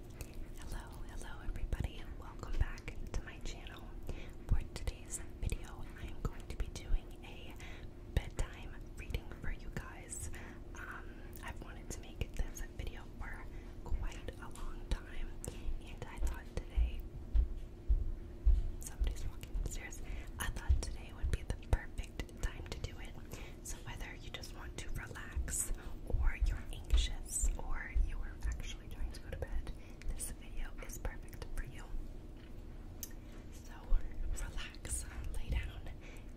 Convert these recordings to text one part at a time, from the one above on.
Hello, hello everybody and welcome back to my channel. For today's video, I am going to be doing a bedtime reading for you guys. Um, I've wanted to make this video for quite a long time and I thought today, somebody's walking upstairs, I thought today would be the perfect time to do it whether you just want to relax or you're anxious or you are actually trying to go to bed, this video is perfect for you. So relax, lay down,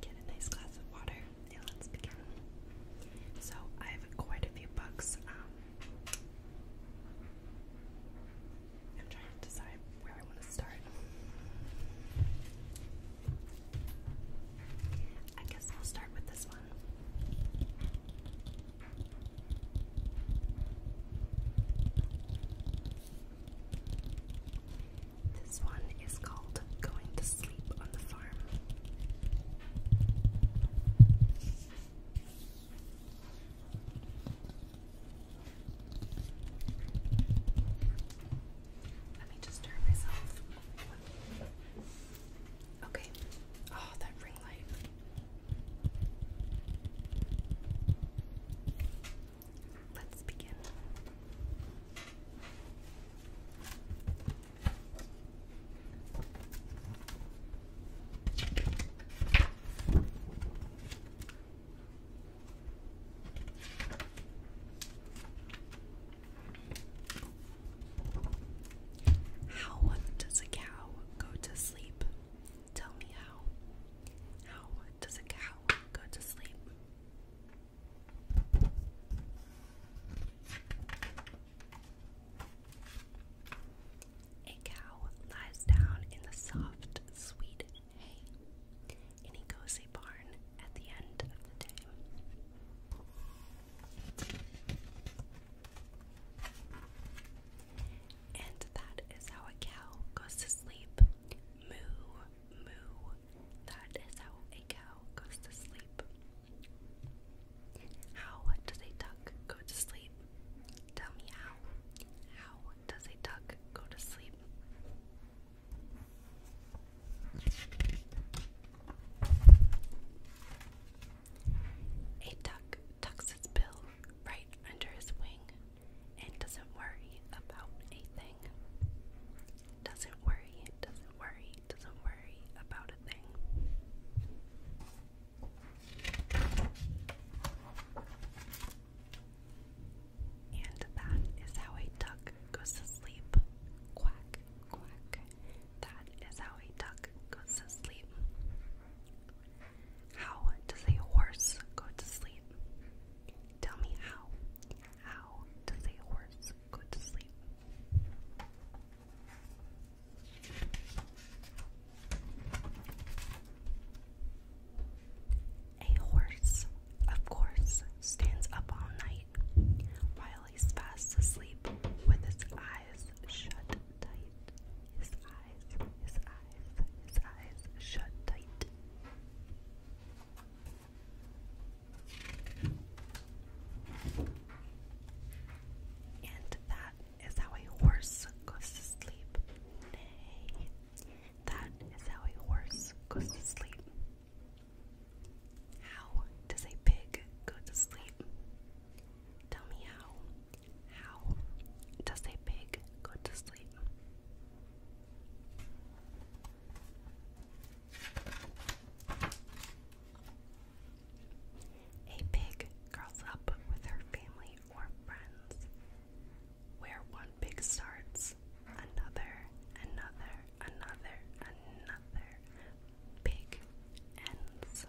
get a nice glass of water, and let's begin. So I have quite a few books. Um, I'm trying to decide where I want to start. I guess I'll start with this one. This one is called Going to Sleep on the Farm. Let me just turn myself. Okay. Oh, that ring light. Let's begin. How does a cow go to sleep? Tell me how. How does a cow go to sleep? A cow lies down in the soft, sweet hay in a cozy barn at the end of the day. And that is how a cow goes to sleep. Moo, moo. That is how a cow goes to sleep. How does a duck go to sleep? Tell me how. How does a duck go to sleep? A duck tucks his bill right under his wing and doesn't worry about a thing. Doesn't worry, doesn't worry, doesn't worry about a thing. And that is how a duck goes to sleep. Quack, that is how a duck goes to sleep. How does a horse go to sleep? Tell me how. How does a horse go to sleep? A horse, of course, stands up all night while he's fast asleep with his eyes shut tight. His eyes, his eyes, his eyes shut tight. And that is how a horse goes to sleep. Nay, that is how a horse goes to sleep. How does a pig go to sleep? Tell me how. How does a pig go to sleep? A pig curls up with her family or friends. Where one pig starts, another, another, another, another big ends.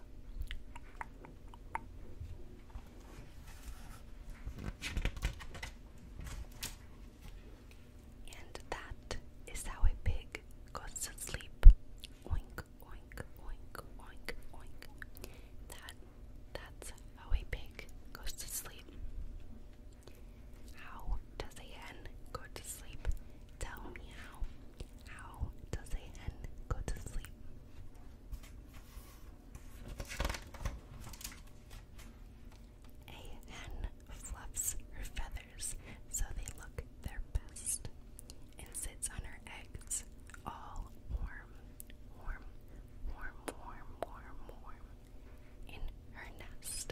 And that is how a pig goes to sleep. Oink, oink, oink, oink, oink. That that's how a pig goes to sleep. How does a hen go to sleep? Tell me how. How does a hen go to sleep? A hen fluffs her feathers so they look their best and sits on her eggs all warm, warm, warm, warm, warm, warm in her nest.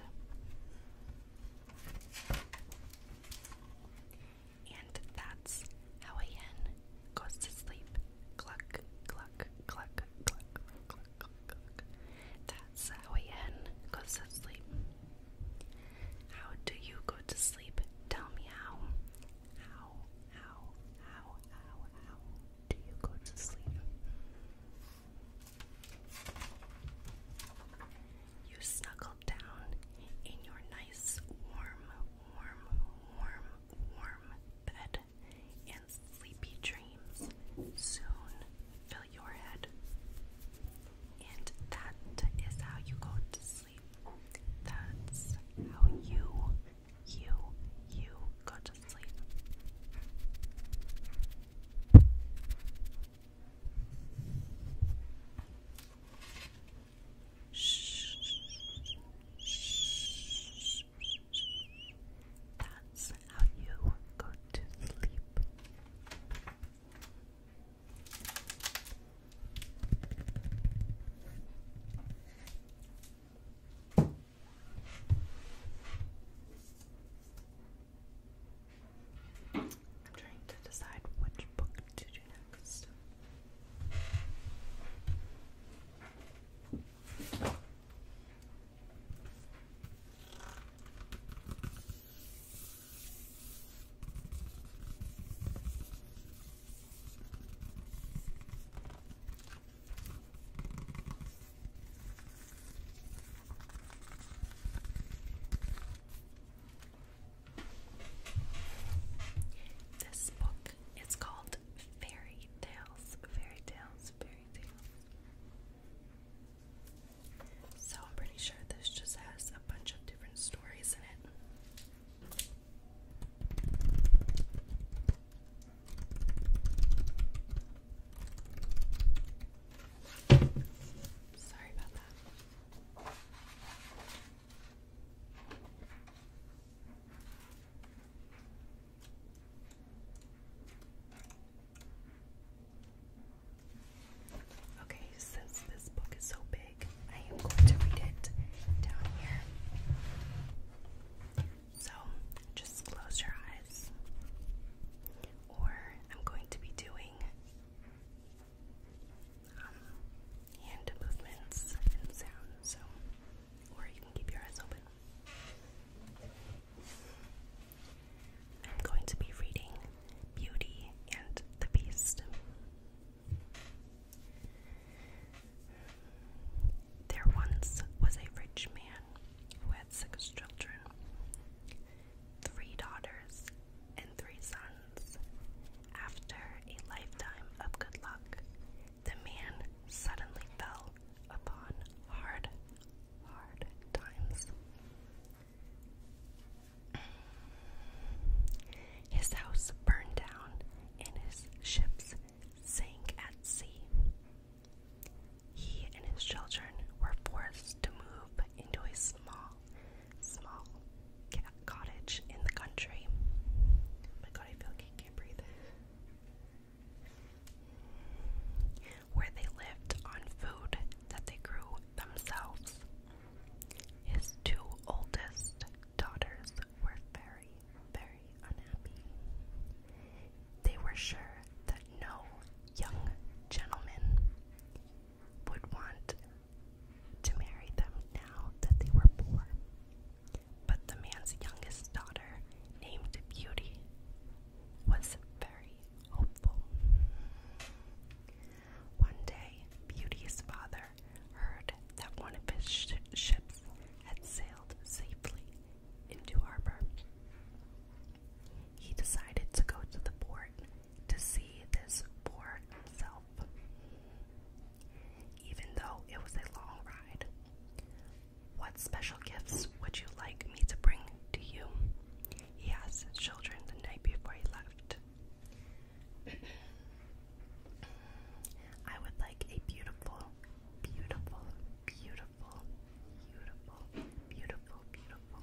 And that's how a hen goes to sleep. Cluck, cluck, cluck, cluck, cluck, cluck, cluck. That's how a hen goes to sleep. How do you go to sleep? Tell me how. How, how, how, how, how do you go to sleep? You snuggle down in your nice, warm, warm, warm, warm bed, and sleepy dreams soon fill your head. And that is how you go to sleep. That's how you, you, you go to sleep. That's how you go to sleep. I'm trying to decide which book to do next. This book is called Fairy Tales, Fairy Tales, Fairy Tales. So I'm pretty sure this just has a bunch of different stories in it. Sorry about that. Okay, since this book is so big, I am going to read it down here. So just close your eyes or I'm going to be doing um, hand movements and sounds, so, or you can keep your eyes open. I'm going to be reading Beauty and the Beast. There once was a rich man who had six children three daughters, and three sons. After a lifetime of good luck, the man suddenly fell upon hard, hard times. His house burned down and his ships sank at sea. He and his children were forced to move into a small, small cottage in the country. Where they lived on food that they grew themselves. His two oldest daughters were very, very unhappy. They were sure that no young gentleman would want to marry them now that they were poor. But the man's youngest daughter, named Beauty, was very hopeful. One day, Beauty's father heard that one of his ships had sailed safely into harbor. He decided to go to the port to see this for himself, even though it was a long ride. What special gifts would you like me to bring to you? Yes, asked children the night before he left. I would like a beautiful, beautiful, beautiful beautiful, beautiful, beautiful, beautiful.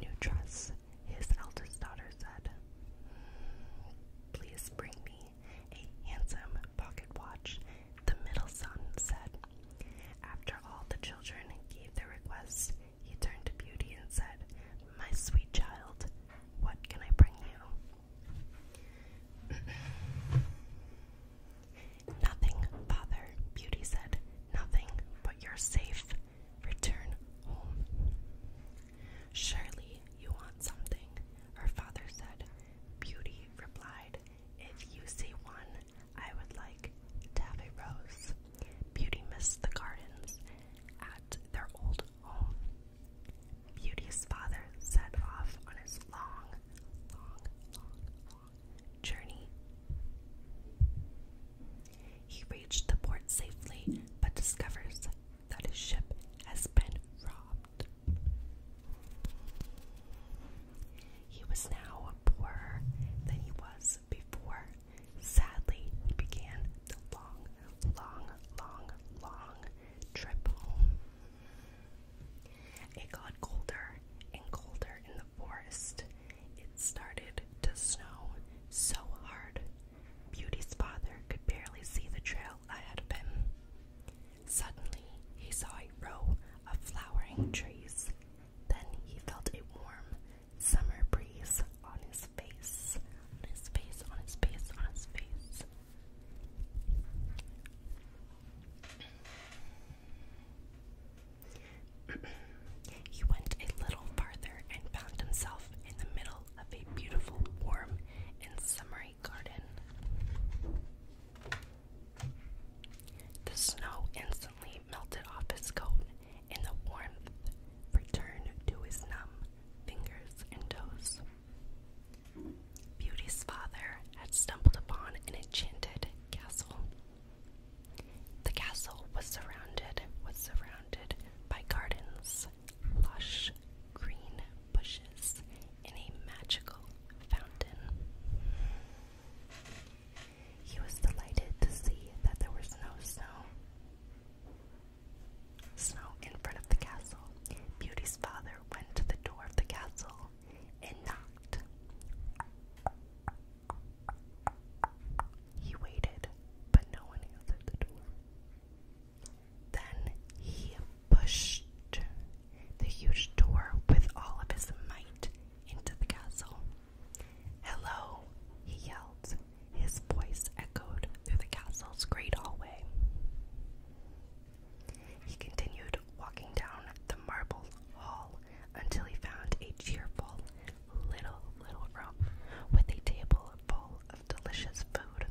Nutras, his eldest daughter, said, Please bring me a handsome pocket watch. The middle son said, After all the children gave their requests, he turned to Beauty and said, My sweet child, what can I bring you? Nothing, father, Beauty said. Nothing, but you're safe. Return home. Surely you want something, her father said. Beauty replied, If you see one, I would like to rose. Beauty missed the gardens at their old home. Beauty's father set off on his long, long, long journey. He reached the port safely but discovers that his ship has been robbed. He was now poorer than he was before. Sadly, he began the long, long, long, long trip home. It got colder and colder in the forest, it started to snow so hard, Beauty's father could barely see the trail ahead of him. Suddenly, he saw a row of flowering trees. Then he felt a warm summer breeze on his face, on his face, on his face, on his face he went a little farther and found himself in the middle of a beautiful, warm, and summery garden. The snow instantly melted off his coat, and the warmth returned to his numb fingers and toes. Beauty's father had stumbled upon an enchanted castle the castle was surrounded was surrounded by gardens, lush green bushes, and a magical fountain. He was delighted to see that there was no snow. Snow in front of the castle. Beauty's father went to the door of the castle and knocked. He waited, but no one answered the door. Then he pushed the huge door with all of his might into the castle. Hello, he yelled. His voice echoed through the castle's great hallway. He continued walking down the marble hall until he found a cheerful little, little room with a table full of delicious food.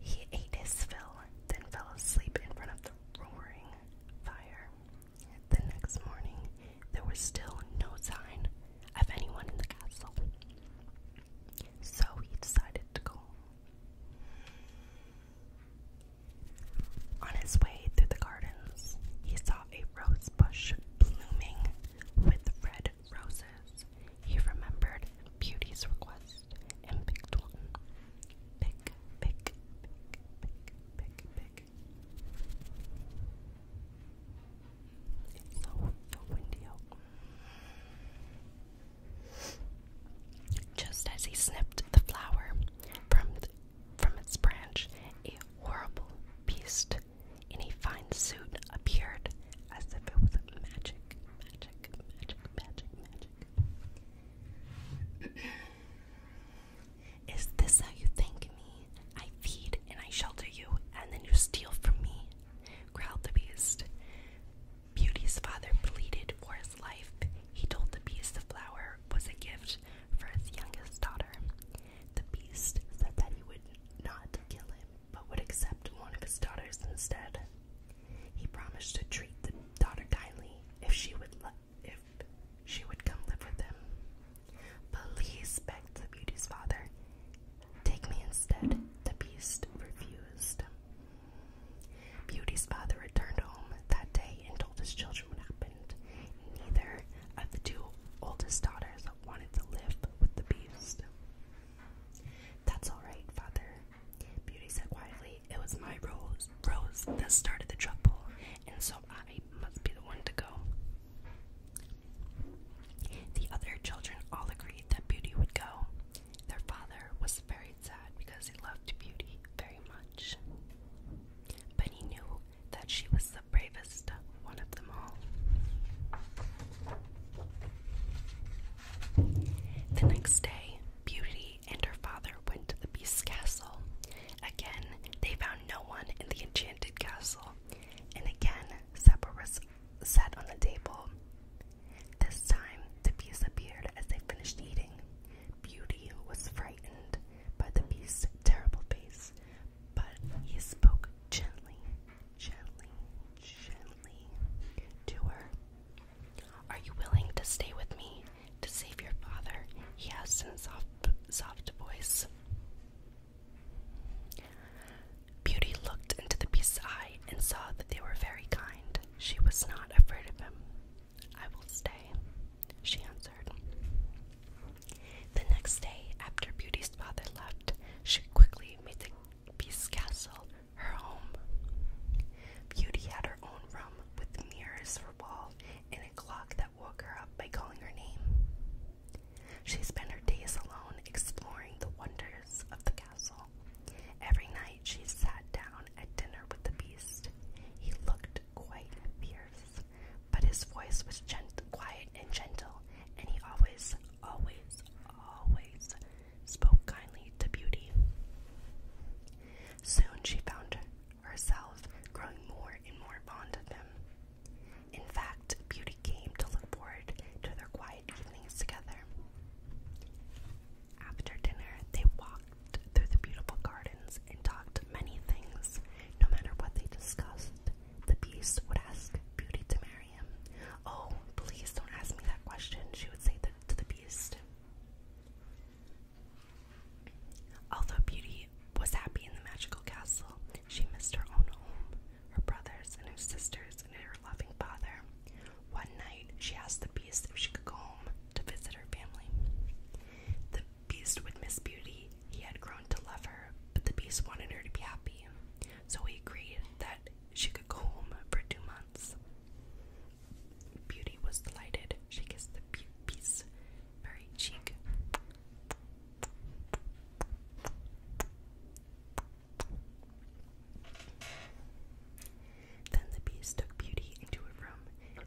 He ate his fill, then fell asleep in front of the roaring fire. The next morning, there was still no sign of anyone in the castle. So he decided to go on his way through the gardens, he saw a rose bush blooming with red roses. He remembered Beauty's request and picked one. Pick, pick, pick, pick, pick, It's so windy out. Just as he snipped the flower from from its branch, a horrible beast in a fine suit appeared as if it was magic, magic, magic, magic, magic. Is this how you thank me? I feed and I shelter you, and then you steal from me, growled the beast. Beauty's father pleaded for his life. He told the beast the flower was a gift for his youngest daughter. The beast said that he would not kill him, but would accept one of his daughters instead. He promised to treat the daughter kindly if she would if she would come live with him. Please begged the beauty's father. Take me instead. The beast refused. Beauty's father returned home that day and told his children what happened. Neither of the two oldest daughters wanted to live with the beast. That's all right, father, Beauty said quietly. It was my rose, rose that started the trouble, and so I must be the one to go. The other children all agreed that Beauty would go. Their father was very Sad because he loved Beauty very much. But he knew that she was the bravest one of them all. The next day, Beauty and her father went to the Beast's castle. Again, they found no one in the enchanted castle, and again, supper was set on the table. This time, the beast appeared as they finished eating. Beauty was frightened by the beast's terrible face, but he spoke gently, gently, gently to her. Are you willing to stay with me to save your father? he asked in a soft, soft voice. Beauty looked into the beast's eye and saw that they were very kind. She was not afraid of him. I will stay, she answered. The next day, after Beauty's father left, she quickly made the Beast Castle her home. Beauty had her own room with mirrors for walls and a clock that woke her up by calling her name. She spent her days alone exploring the wonders of the castle. Every night she sat down at dinner with the beast. He looked quite fierce, but his voice was gent quiet and gentle, and he always, always, always spoke kindly to Beauty. Soon she found herself growing more and more fond of him. In fact, Beauty came to look forward to their quiet evenings together. After dinner, they walked through the beautiful gardens and talked many things. No matter what they discussed, the beast would ask Beauty to marry him. Oh, please don't ask me that question, she would say that to the beast. Although Beauty was happy in the magical castle, she missed her own home, her brothers and her sisters, and her loving father. One night, she asked the beast if she could go to visit her family. The beast would miss Beauty. He had grown to love her, but the beast wanted her to be happy, so he agreed that she could go home for two months. Beauty was delighted. She kissed the beast's very cheek. Then the beast took Beauty into a room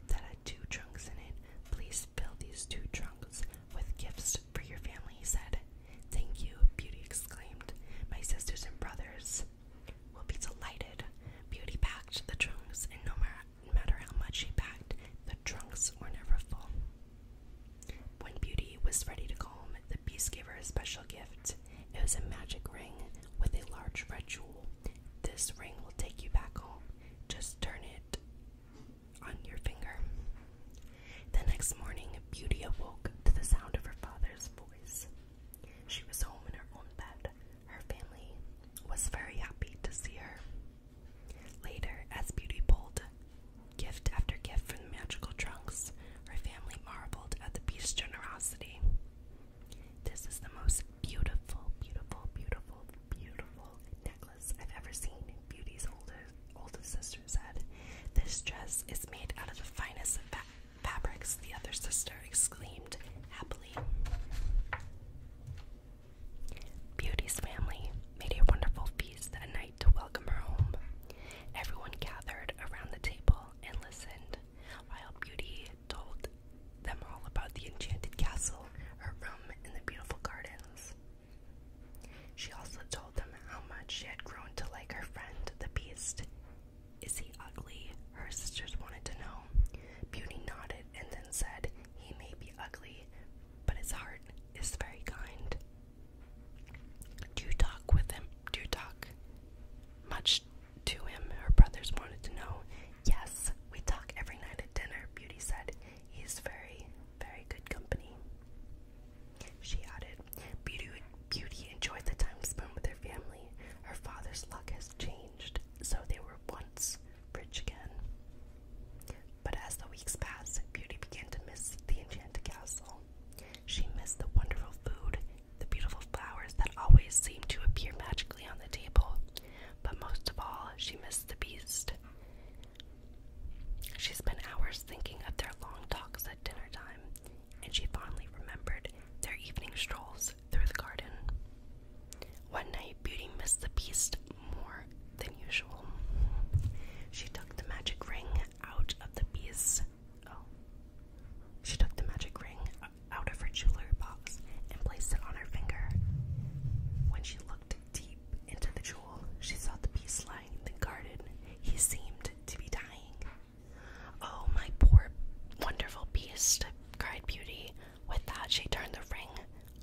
that had two trunks in it. Please fill these two trunks with gifts for your family, he said. Thank you, Beauty exclaimed. My sisters and brothers will be delighted. Beauty packed the trunks, and no matter how much she packed, the trunks were never full. When Beauty was ready to go home, the beast gave her a special gift. It was a magic ring with a large red jewel. This ring will take you back home. Just turn it on your finger. The next morning, Beauty awoke to the sound of her father's voice. She was home in her own bed. Her family was very happy to see her. Later, as Beauty pulled gift after gift from the magical trunks, her family marveled at the beast's generosity. This is the most beautiful, beautiful, beautiful, beautiful necklace I've ever seen. Beauty's oldest, older sister said. This dress is made out of the finest fabrics, the other sister exclaimed happily. Beauty's family made a wonderful feast that night to welcome her home. Everyone gathered around the table and listened while Beauty told them all about the enchanted castle, her room, and the beautiful gardens. She also told them how much she had grown to like her friend, the beast. Is he ugly? Her sisters wanted to know. Beauty nodded and then said, He may be ugly, but his heart is very kind. Do talk with him? Do talk much to him, her brothers wanted to know. Yes, we talk every night at dinner, Beauty said. He's very, very good company. She added, Beauty, Beauty enjoyed the time spent with her family. Her father's luck has changed, so they were once rich again. But as the weeks passed, Beauty began to miss the enchanted castle. She missed the wonderful food the beautiful flowers that always seemed to appear magically on the table. But most of all, she missed the beast. She spent hours thinking of their long talks at dinner time, and she fondly remembered their evening strolls through the garden. One night, Beauty missed the beast more than usual. She took the magic ring out of the beast. Oh, she took the magic ring out of her jewelry box and placed it on her finger. When she looked deep into the jewel, she saw the beast lying in the garden. He seemed to be dying. Oh, my poor, wonderful beast, cried Beauty. With that, she turned the ring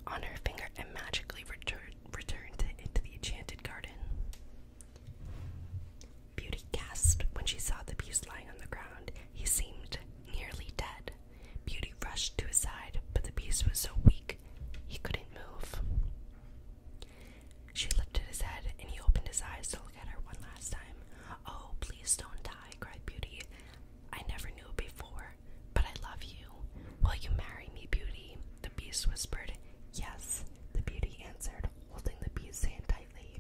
on her finger and magically returned it into the enchanted garden. Beauty gasped when she saw the beast lying on the ground. He seemed nearly dead. Beauty rushed to his side, but the beast was so weak he couldn't move. She lifted his head, and he opened his eyes to look at her one last time. Oh, please don't die, cried Beauty. I never knew before, but I love you. Will you marry me, Beauty? The beast whispered. Yes, the beauty answered, holding the beast's hand tightly.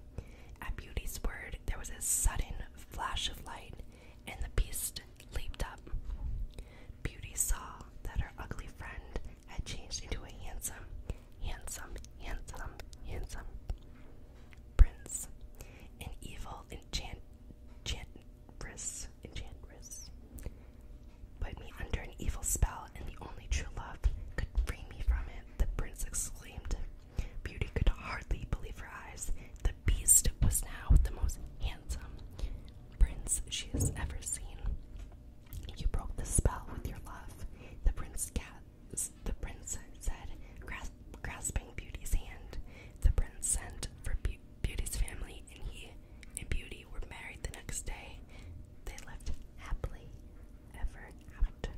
At Beauty's word, there was a sudden flash of light, and the beast leaped up. Beauty saw that her ugly friend had changed into a handsome, handsome, handsome, handsome prince, an evil enchantress, enchantress. Put me under an evil spell, and the only true love could free me from it, the prince exclaimed Beauty could hardly believe her eyes. The beast was now the most handsome prince she has ever seen. You broke the spell with your love, the prince said, grasping Beauty's hand. The prince sent for Beauty's family, and he and Beauty were married the next day. They lived happily ever after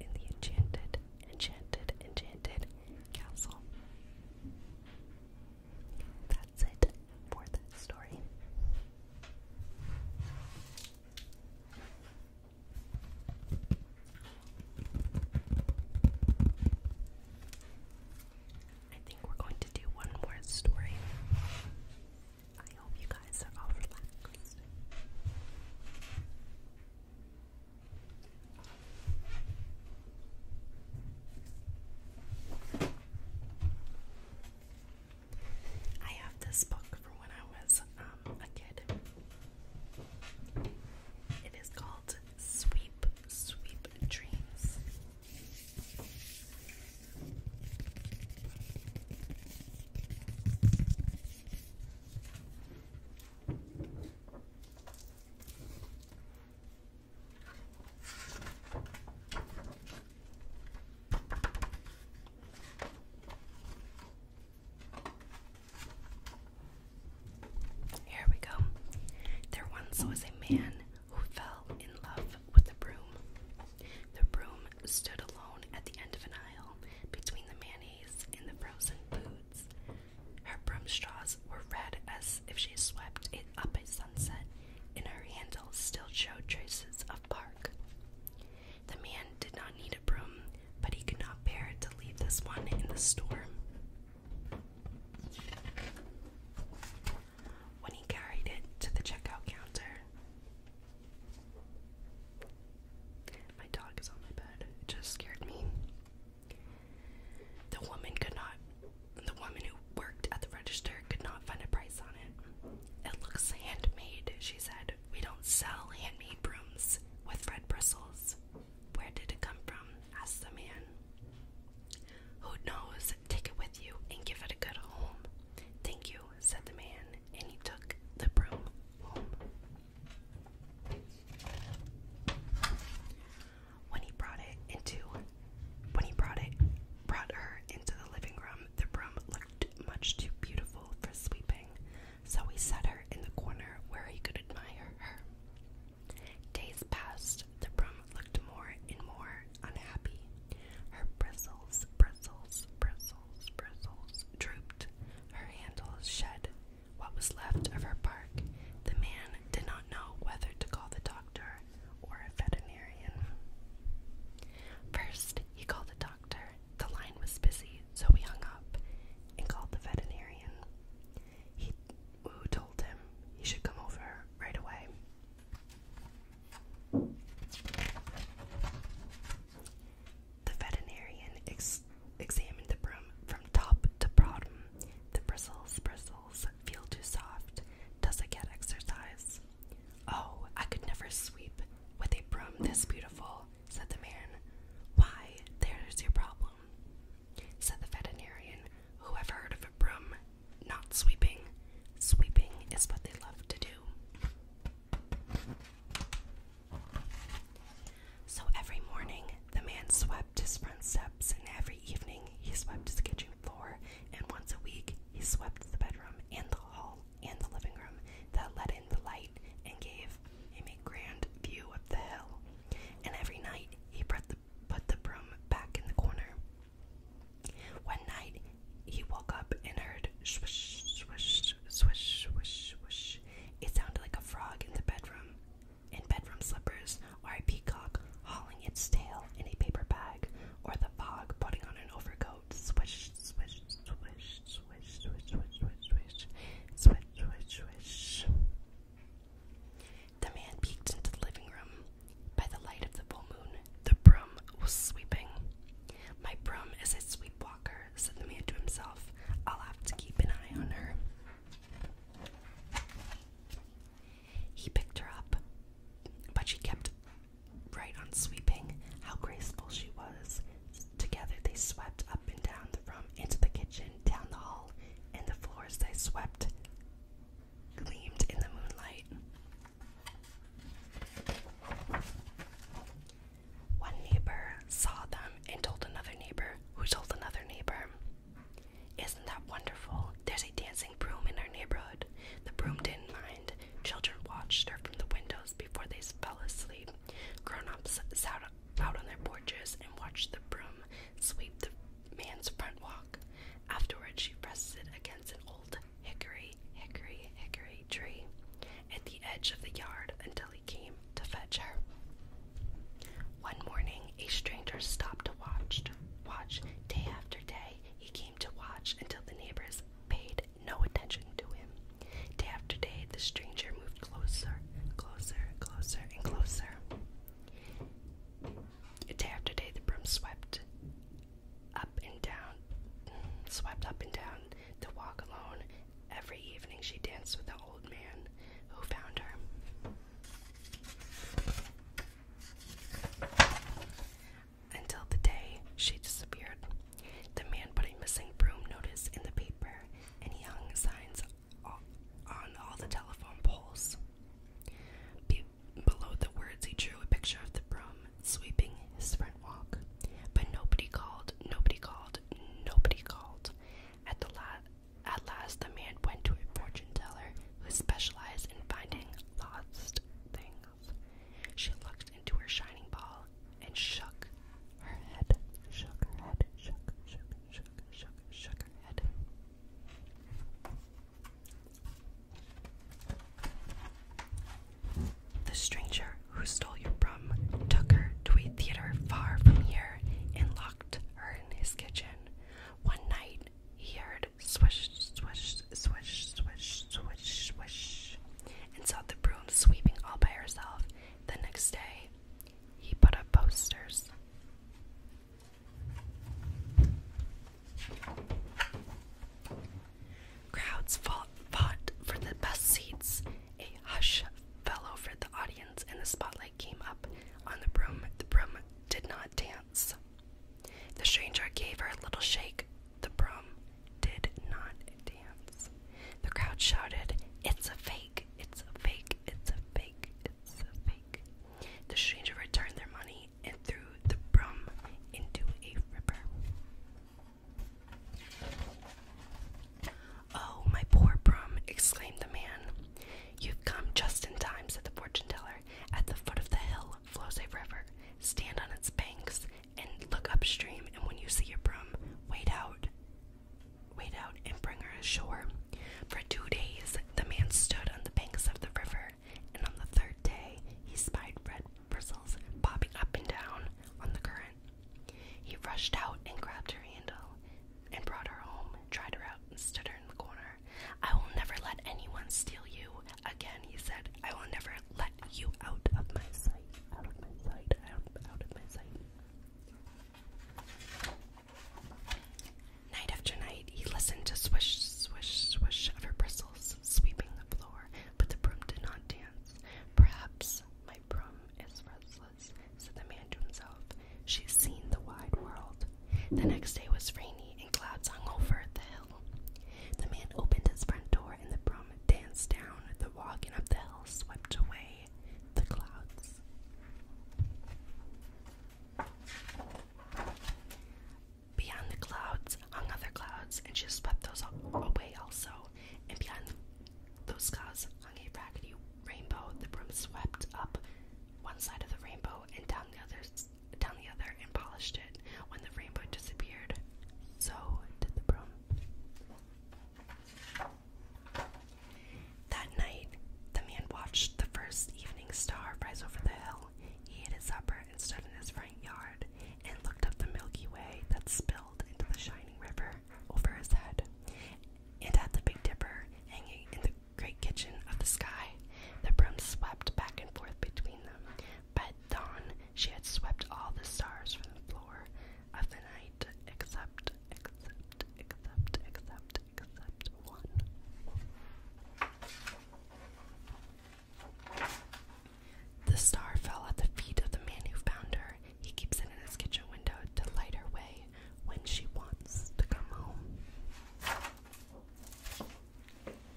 in the enchanted, enchanted, enchanted castle. That's it for that story. I think we're going to do one more story. I hope you guys are all relaxed. I have this book from when I was um, a kid. It is called Sweep, Sweep Dreams. Here we go. There once was a man who fell in love with a broom. The broom stood alone at the end of an aisle between the man in the frozen boots, Her broomstraws were red as if she swept it up at sunset, and her handles still showed traces of bark. The man did not need a broom, but he could not bear to leave this one in the storm. When he carried it to the checkout counter, my dog is on my bed. It just scared me. The woman could not, the woman who worked at the register could not find a price on it. It looks handmade, she said. We don't sell handmade brooms with red bristles. Where did it come from? asked the man. Who knows? Take it with you and give it a good home. Thank you, said the man, and he took the broom home. When he brought it into when he brought it brought her into the living room, the room looked much too beautiful for sleeping, so he set her in the corner where he could admire her. Days passed, the broom looked more and more unhappy. Her bristles, bristles, bristles bristles, bristles drooped, her handles shed what was left of her bark. The man did not know whether to call the doctor or a veterinarian. First, he called the doctor. The line was busy, so he hung up and called the veterinarian. He who told him he should come over right away. The veterinarian examined the broom from top to bottom. The bristles, bristles, feel too soft. Does it get exercise? Oh, I could never sweep with a broom this beautiful, said the man. Why, there's your problem, said the veterinarian. Who ever heard of a broom not sweeping? Sweeping is what they love to do. So every morning the man swept his front steps, and every evening he swept his kitchen floor, and once a week he swept the bedroom and the hall and the living room that let in the light and gave him a grand view of the hill. And every night he put the, put the broom back in the corner. One night he woke up and heard swish, swish, swish, swish, swish, swish. It sounded like a frog in the bedroom, in bedroom slippers, or a peacock hauling its tail in a paper bag, or the fog putting on an overcoat. Swish, swish, swish, swish, swish, swish, swish, swish, swish, swish, swish. The man peeked into the living room. By the light of the full moon, the broom was sweeping. My broom is a sweep walker said the man to himself. I'll have to keep an eye on her. He picked her up, but she kept right on sweeping. How graceful she was. Together they swept up and down the room, into the kitchen, down the hall, and the floors they swept gleamed in the moonlight. One neighbor saw them and told another neighbor, who told another neighbor. Isn't that wonderful? There's a dancing broom in our neighborhood. The broom didn't mind. Children watched her from the windows before they fell asleep. Grown ups sat out on their porches and watched the broom sweep the man's front walk. Afterward, she rested against an old hickory, hickory, hickory tree at the edge of the yard until he came to fetch her. One morning, a stranger stopped to watch. Watch day after day, he came to watch until the neighbors paid no attention to him. Day after day, the stranger moved closer, closer, closer, and closer. Day after day, the broom swept up and down, swept up and down To walk alone Every evening she danced with the old man who found her. Until the day she disappeared. The man put a missing broom notice in the paper and hung signs on all the telephone poles. below the words, he drew a picture of the broom sweeping his front walk. But nobody called, nobody called, Nobody called. At the la at last, the man went to a fortune teller who specialized in finding lost things. She looked into her shining ball and shook her head. Shook her head. Shook, shook, shook, shook, shook her head. The stranger who stole your broom took her to a theater far from here and locked her in his kitchen. One night he heard swish, swish, swish, swish, swish, swish, and saw the broom sweeping all by herself. The next day, he put up posters. Crowds fought, fought for the best seats. A hush fell over the audience, and the spotlight came up on the broom. The broom did not dance. The stranger gave her a little shake. The broom did not dance. The crowd shouted, It's a fake! It's a fake! It's a fake! It's a fake! The stranger returned their money and threw the broom into a river. Oh, my poor Brum, exclaimed the man. You've come just in time, said the fortune teller. At the foot of the hill flows a river. Stand on its banks and look upstream, and when you see your Brum, wait out. Wade out and bring her ashore. For two days, the man stood on the banks of the river, and on the third day, he spied red bristles bobbing up and down on the current. He rushed out and grabbed her handle and brought her home, tried her out, and stood her in the corner. I will never let anyone steal you again, he said. I will never let you out of my sight. Out of my sight. Out, of my sight. Night after night, he listened to swish, swish, swish of her bristles sweeping the floor, but the broom did not dance. Perhaps Librum is restless, said the man to himself. She's seen the wide world. The next day was rainy, and clouds hung over the hill. The man opened his front door, and the broom danced down the walk and up the hill, swept away the clouds. Beyond the clouds hung other clouds, and she swept those away also and behind those scars hung a raggedy rainbow. The broom swept up one side of the rainbow and down the other, down the other, and polished it. When the rainbow disappeared, so did the broom. That night, the man watched the first evening star rise over the hill. He ate his supper and stood in his front yard and looked up the Milky Way that spilled into the shining river over his head, and at the Big Dipper hanging in the great kitchen of the sky. The broom swept back and forth between them. By dawn, she had swept all the stars from the floor of the night, except, except, except, except, except one. The star fell at the feet of the man who found her. He keeps it in his kitchen window to light her way when she wants to come home.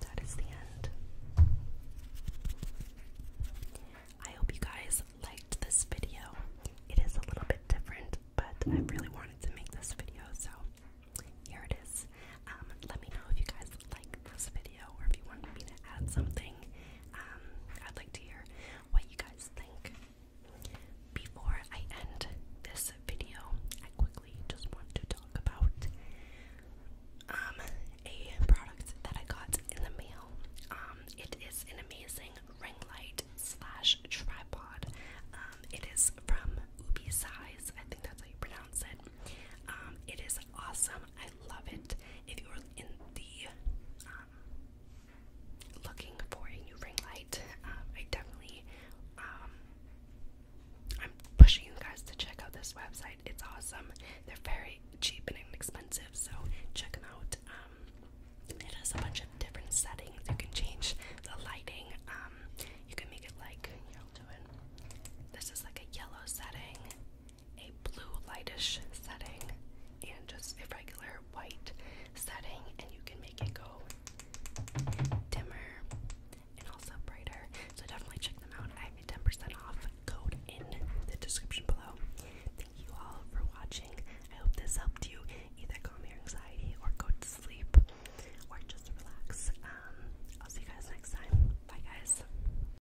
That is the end. I hope you guys liked this video. It is a little bit different, but I really wanted to make this video, so here it is. Um, let me know if you guys like this video or if you want me to add something. Um, I'd like to hear what you guys think. Before I end this video, I quickly just want to talk about um, a product that I got in the mail. Um, it is an amazing ring light slash tripod. it is from Ubi Size. I think that's how you pronounce it. it is awesome. I love it. If you're in the um, looking for a new ring light, um, I definitely um, I'm pushing you guys to check out this website. It's awesome. They're very cheap and inexpensive, so check them out. it has a bunch of different settings. You can change the lighting. you can make it like This is like a yellow setting a blue lightish setting and just a regular white setting, and you can make it go dimmer and also brighter. So definitely check them out. I have a 10% off code in the description below. Thank you all for watching. I hope this helped you either calm your anxiety or go to sleep or just relax. Um, I'll see you guys next time. Bye, guys.